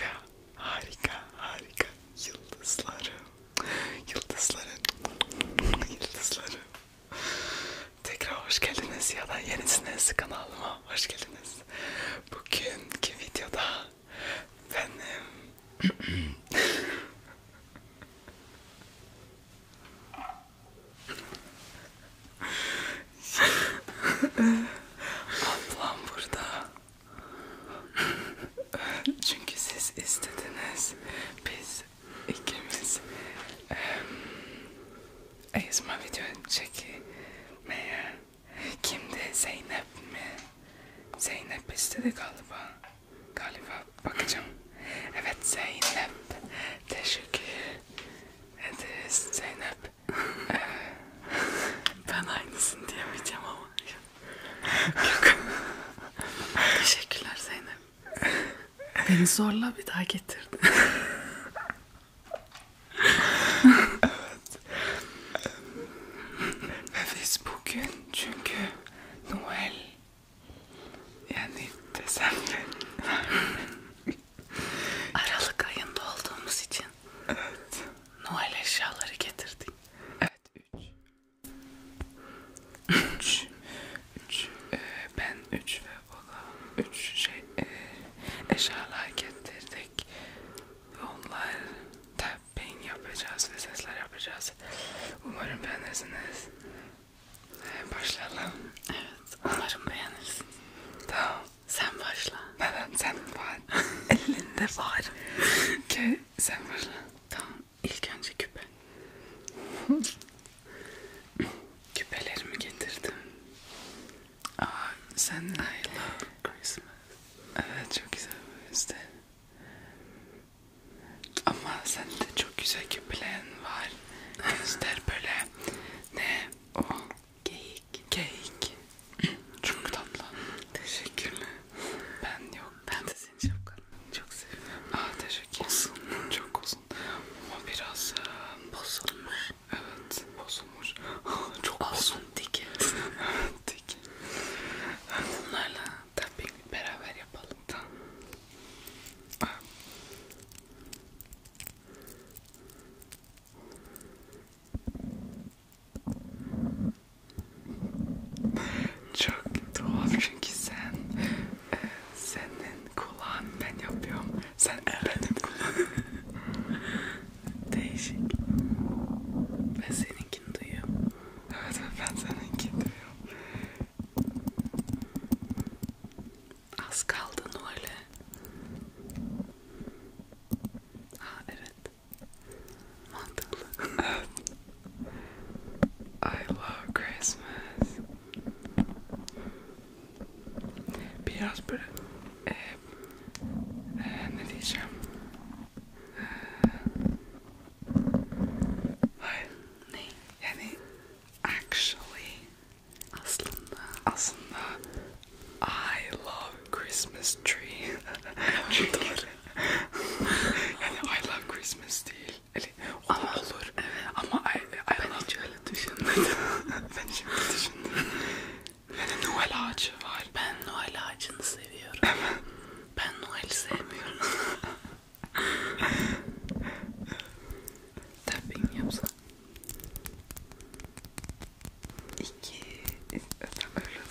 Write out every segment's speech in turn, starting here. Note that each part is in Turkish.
Ya, harika, harika. Yıldızlarım, yıldızlarım, yıldızlarım. Tekrar hoş geldiniz ya da yenisiniz kanalıma. Hoş geldiniz. Bugünkü videoda benim... Ablam burada. Çünkü siz istediniz. Biz ikimiz e, ezma video çekmeye. Kimdi? Zeynep mi? Zeynep istedi galiba. Galiba bakacağım. Evet Zeynep. Teşekkür ederiz Zeynep. Ben aynısını diyemeyeceğim ama. Yok. Teşekkürler Zeynep. Beni zorla bir daha getirdin. Ve biz bugün çünkü Noel yani desem de Aralık ayında olduğumuz için evet. Noel eşyaları getirdik. Evet 3 3 3 ben 3 ve o 3 şey e, eşyalar getirdik. Onlar tapping yapacağız ve sesler yapacağız. Umarım beğenirsiniz. Ee, başlayalım. Evet umarım beğenirsiniz. Tamam. Sen başla. Neden sen var? Elinde var. Ki sen başla. Tamam. İlk önce küpe. Küpelerimi getirdim. Aa, sen I love Christmas. Evet çok güzel işte. Ama sen de çok güzel küpelerin var. Göster böyle. Ne? O Geyik. Geyik. Çok tatlı. Teşekkürler. Ben yok. Ben de senin şapkanı çok seviyorum. Aa teşekkür Uzun. Çok uzun. Ama biraz e, bozulmuş. Evet bozulmuş. çok uzun. Dike. Dike. Bunlarla tapping beraber yapalım. Tamam. Aa. Çok tuhaf çünkü sen e, senin kulağın ben yapıyorum. Sen evet. benim kulağım. Değişik. Ben seninkini duyuyorum. Evet ben seninkini duyuyorum. Az kaldın öyle. I love Christmas. Biraz böyle e, e, actually aslında aslında I love Christmas tree. I love Christmas değil. Yani, o ama, da olur. Evet. Ama I, I ben love... hiç öyle düşünmedim. ben şimdi düşündüm. Yani Noel ağacı var. Ben Noel ağacını seviyorum. Evet. Ben Noel'i sevmiyorum. Tapping yapsam. İki öpemörlü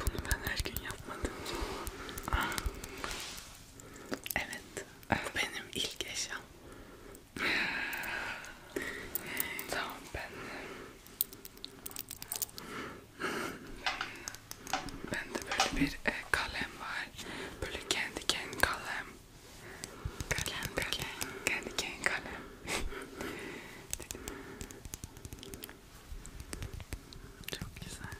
Bunu ben her gün yapmadım. evet. Bu benim ilk eşyam. tamam ben Bende böyle bir e, kalem var. Böyle kendi kendi kalem. Kalem, kalem, kalem, kalem. Dedim. Çok güzel.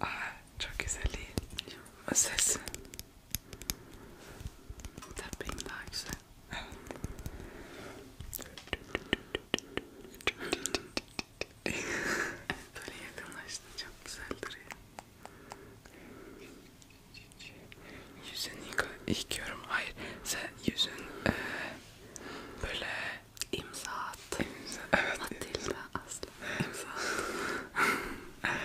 Aa, çok güzel değil. O ses. Tabii daha güzel. Böyle yakınlaştı çok güzel duruyor. Yüzünü yıka yıkıyorum. Hayır, sen yüzün e, böyle imza at. İmza, evet. Matilda asla imza at.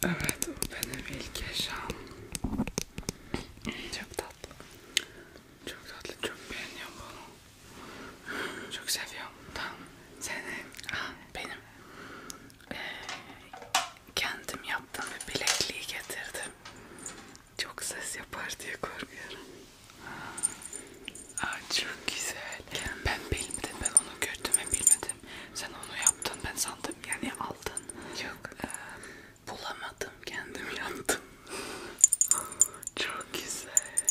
tamam. Evet o benim ilk eşyam. Çok tatlı. Çok tatlı. Çok beğeniyorum bunu. Çok seviyorum. Tamam. Seni. Ha, benim. Ee, kendim yaptım ve bilekliği getirdim. Çok ses yapar diye korkuyorum. Aa, çok güzel. Ben bilmedim, ben onu gördüm ve bilmedim. Sen onu yaptın, ben sandım yani aldın. Yok. Ee, bulamadım, kendim yaptım. çok güzel.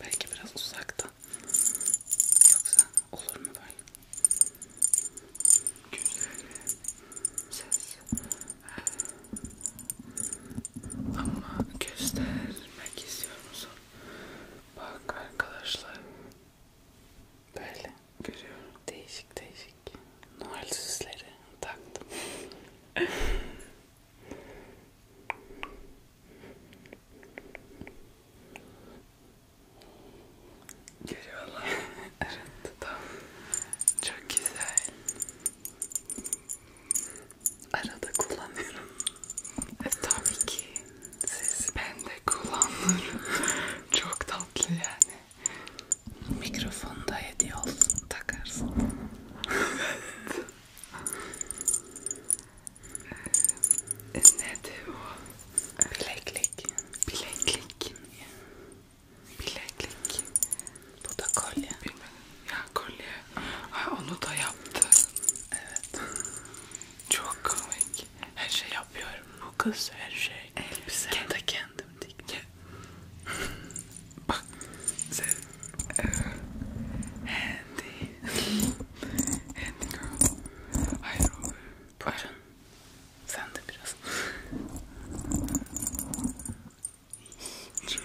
Belki biraz uzaktan. Yoksa olur mu böyle? Güzel. Ses. Ee, ama göstermek istiyor musun? Bak arkadaşlar. Böyle görüyorum. Değişik değişik. Noel süsleri taktım. Görüyorlar. evet, tamam. Çok güzel. Arada kullanıyorum. E, tabii ki. Siz ben de kullanırım. Çok tatlı yani. Mikrofonu da hediye olsun takarsın. Evet. e, neydi o? Bileklik. Bileklik. Bileklik. Bu da kolye. Bilmiyorum. Ya kolye. Ay, onu da yaptı. Evet. Çok komik. Her şey yapıyorum. Bu kız her şey. Elbise. Kendi kendim dikti. Bak. Sen. E, Handy. Handy girl. Hayır oğlum. Buyurun. Sen de biraz. Çok.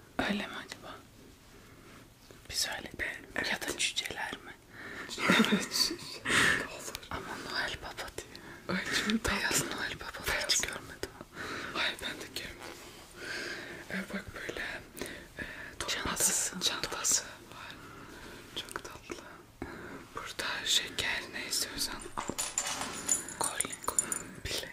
Öyle mi acaba? Biz öyle de evet. ya da cüceler mi? evet. Ama Noel Baba diye. Ay şimdi beyaz Noel Baba beyaz. hiç görmedim. Hayır ben de görmedim. Ee, bak böyle e, torbası, çantası, çantası var. Çok tatlı. Burada şeker neyse Özen al. Kol. Kol. Bile.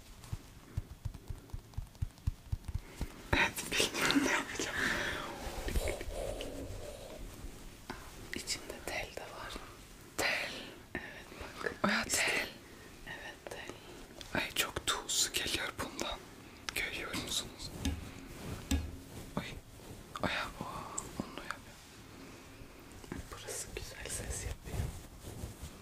Evet bilmiyorum ne yapacağım. İçinde tel de var. Tel. Evet bak. Oya tel. Evet tel. Ay çok tuzlu geliyor bundan. Görüyor musunuz? Ay. Oya o. Onu yapıyor. Burası güzel ses yapıyor.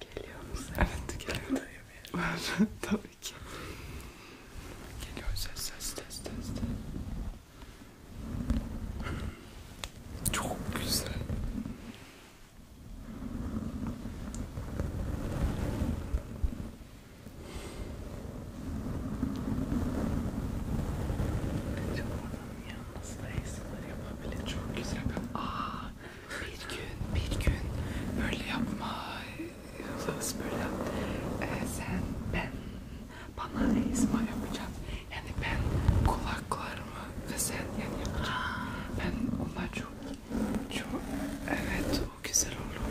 Geliyor musun? Evet geliyor. Tabii ki. Geliyor ses ses ses ses. Çok güzel. Çok yalnız da yapabilir. Çok güzel. Aa, bir gün bir gün böyle yapma böyle ee, sen ben bana esma yapacağım yani ben kulaklarımı ve sen yani yapacağım ben ona çok çok evet o güzel olur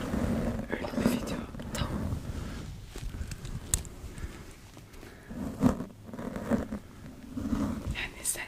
öyle bir video tamam yani sen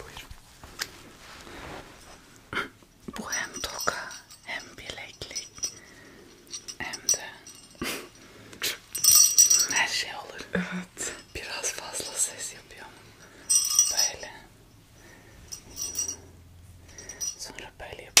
Buyurun. Bu hem toka hem bileklik hem de her şey olur. Evet. Biraz fazla ses yapıyorum. Böyle. Sonra böyle yapıyorum.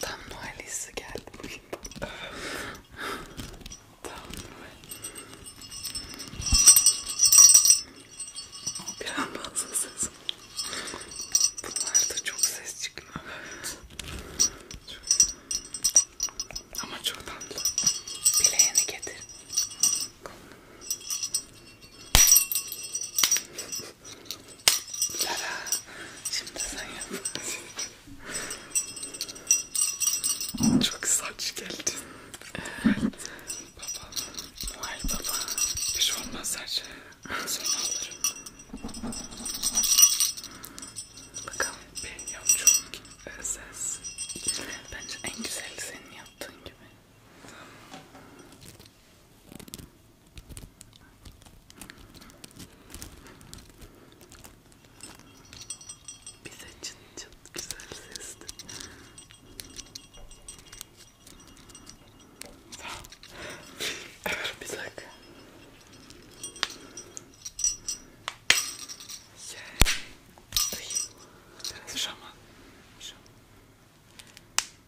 Tam Noel hissi geldi bugün bana. Tam Noel. Bir an fazla ses. Bunlarda çok ses çıkıyor. Evet. Çok. Ama çok tatlı. Bileğini getir. Lara, şimdi sen yap. Çok saç geldi. baba, Noel baba. Bir şey olmaz her şey. Sonra alırım. Bakalım benim yapacağım ses. Bence en güzel senin yaptığın gibi. Tamam. Bize çıt çıt güzel sesli. Tamam. bir dakika. Şey. Biraz şaman. Şaman.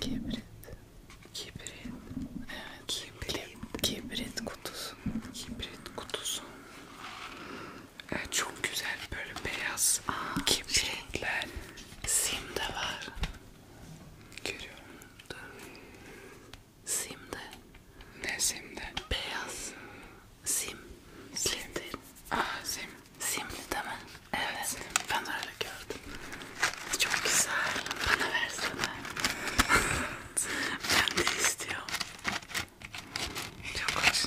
Kibrit. Kibrit. Evet. Kibrit. Kibrit kutusu. Kibrit kutusu. Evet, çok güzel böyle beyaz Aa, kibritler. Şey. Sim de var. Görüyorum. Dur. Sim de. Ne sim de? Beyaz. Sim. Sim. Sim. Aa sim. Simli değil mi? Evet. Sim. Ben öyle gördüm. Çok güzel. Bana versene. ben de istiyorum. Çok hoş.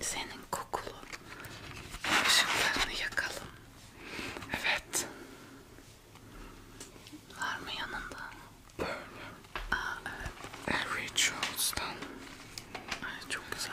Ve senin kokulu ışıklarını yakalım. Evet. Var mı yanında? Böyle. Aa evet. Harry Charles'tan. Ay çok güzel.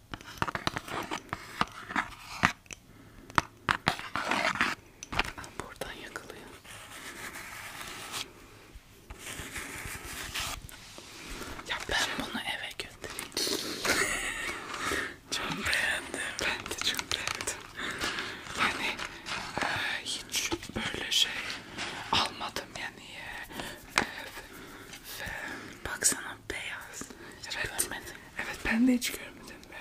Ben buradan yakalayayım. Ya ben bunu eve götüreyim. çok beğendim. Ben de çok beğendim. Yani e, hiç böyle şey almadım yani. E, e, e, baksana beyaz. Hiç evet. görmedim. Evet ben de hiç görmedim ve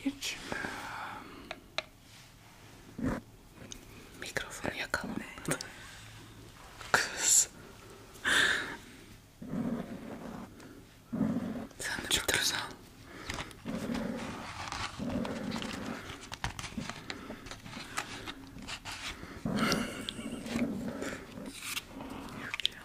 hiç um... mikrofonu yakalamadım. Kız. Sen de Çok bir güzel. Al.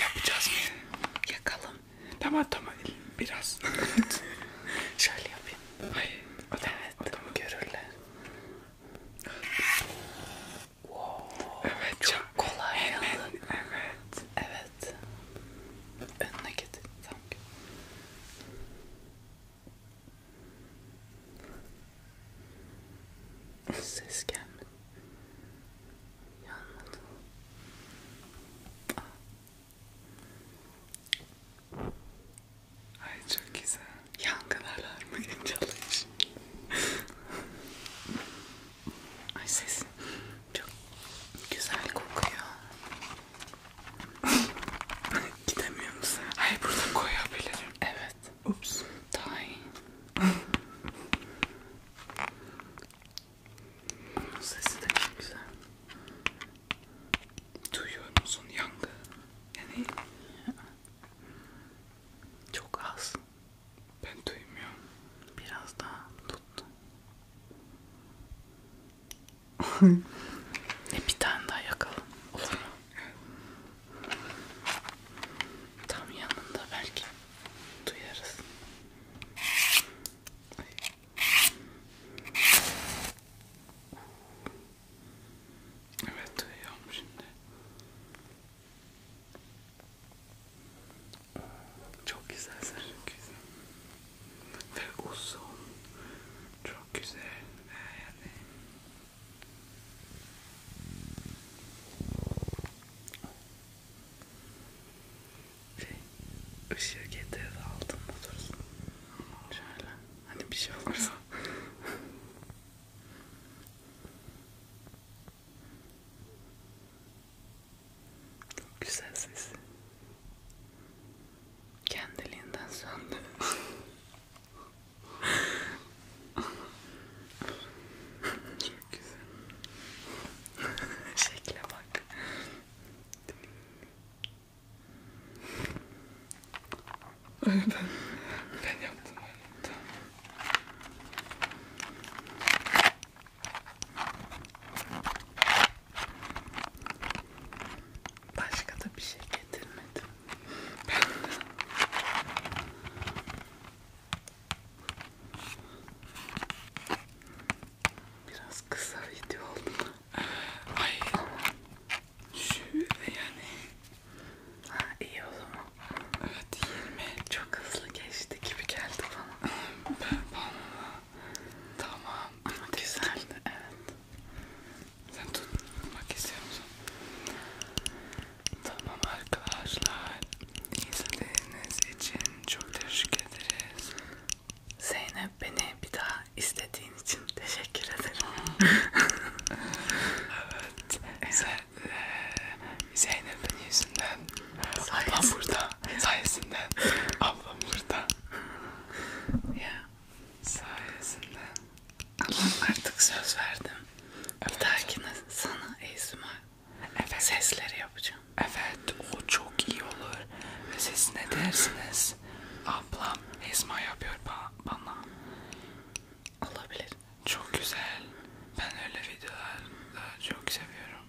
Yapacağız mı? Yakalım. Tamam tamam biraz. Evet. Şöyle yapayım. Ay, adam, evet. Adamı görürler. Wow. Evet çok, çok kolay hemen, yalın. Evet. Evet. Önüne git. Tamam. Ses gelmedi. Yanmadı. Ay çok güzel. Yangın alarmı çalış. Ay ses çok güzel kokuyor. Gidemiyor musun? Ay burada koyabilirim. Evet. Oops, die. Onun sesi de çok güzel. Duyuyor musun yangı? Yani çok az. Ben duymuyorum. Biraz daha tuttum. e bir tane daha yakalım. Olur mu? Tam yanında belki duyarız. Evet duyuyorum şimdi. Çok güzel çok güzel ve uzun çok güzel e, yani şey, ışığı getir altında dursun. Şöyle, hani bir şey olursa. Çok güzel sesi. Kendiliğinden söndü. Çok güzel. Şekle bak. ben, ben yaptım öyle. Tamam. Başka da bir şey getirmedim. Ben de. Biraz kısa video oldu. Hayır. Şöyle yani. Ha, iyi o zaman. Evet 20. Çok hızlı geçti gibi geldi bana. bana. Tamam. Ama güzeldi evet. Sen tutmak istiyor musun? Tamam arkadaşlar. İzlediğiniz için çok teşekkür ederiz. Zeynep beni bir daha istediğin için teşekkür ederim. evet. Sen, e, Zeynep'in yüzünden. Sayesinde. Ablam burada. Sayesinden. Ablam burada. Ya. Sayesinden. Ama artık söz verdim. Evet. Bir dahakine sana ASMR evet. sesleri yapacağım. Evet o çok iyi olur. Ve siz ne dersiniz? Ablam ASMR yapıyor ba bana. Olabilir. Çok güzel. Ben öyle videolar e, çok seviyorum.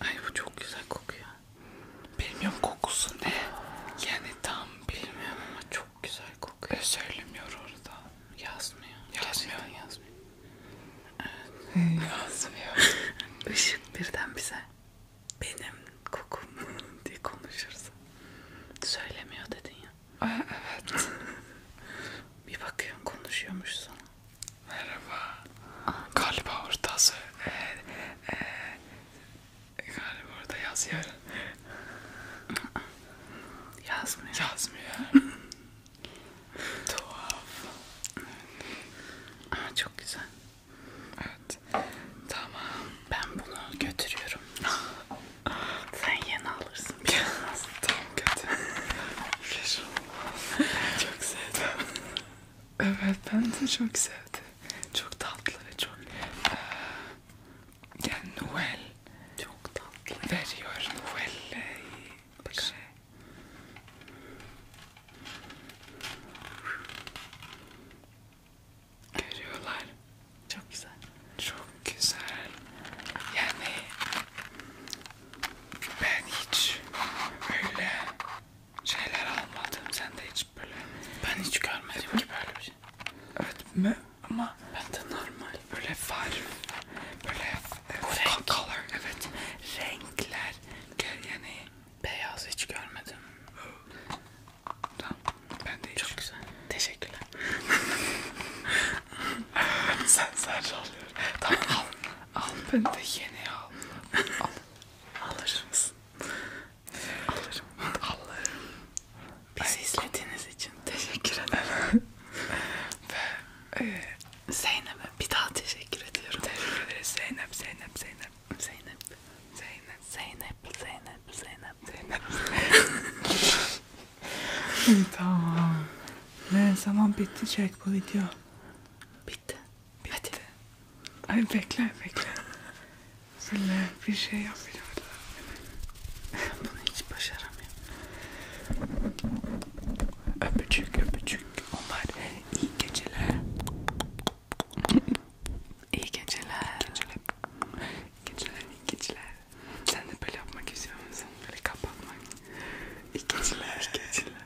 Ay bu çok güzel kokuyor. Bilmiyorum kokusu ne? Yani tam bilmiyorum ama çok çok güzel kokuyor. Ee, söylemiyor orada. Yazmıyor. Yazmıyor. Gerçekten yazmıyor. Evet. yazmıyor. Işık birden bize benim kokum diye konuşursa söylemiyor dedin ya. Aa, evet. Bir bakıyorsun konuşuyormuş sana. Merhaba. Aa. Galiba orada söyle. Ee, e, galiba orada yazıyor. Yazmıyor. Yazmıyor. Tuhaf. Evet. Aa, çok güzel. Evet. Tamam. Ben bunu götürüyorum. Sen yeni alırsın. Biraz. Tam kötü. çok sevdim. evet ben de çok sevdim. Çok tatlı ve çok... Yani Noel çok tatlı. Veriyorum vallahi. Bakın. Görüyorlar. Çok güzel. Çok güzel. Yani ben hiç böyle şeyler almadım. Sen de hiç böyle. Ben hiç görmedim ki böyle bir şey. Evet. Ama ben de normal böyle far, böyle renk, color, evet renkler yani beyaz hiç görmedim. Tamam, ben de çok hiç. güzel. Teşekkürler. Sen sadece alıyorum. Tamam al, al ben de yeni al. Al, alır mısın? Alırım, alırım. Bizi izlediğiniz için teşekkür ederim. Ve e, Zeynep'e bir daha teşekkür ediyorum. Teşekkür ederiz Zeynep, Zeynep, Zeynep, Zeynep, Zeynep, Zeynep, Zeynep, Zeynep, Zeynep. Zeynep. tamam. Ne zaman bitecek bu video? Bitti. Bitti. Hadi. Ay bekle bekle. Böyle bir şey yapacağım. Bunu hiç başaramıyorum. Öpücük öpücük. Onlar iyi geceler. iyi geceler. Geceler. Geceler iyi geceler. Sen de böyle yapmak istiyor musun? Böyle kapanmak. İyi geceler. İyi geceler.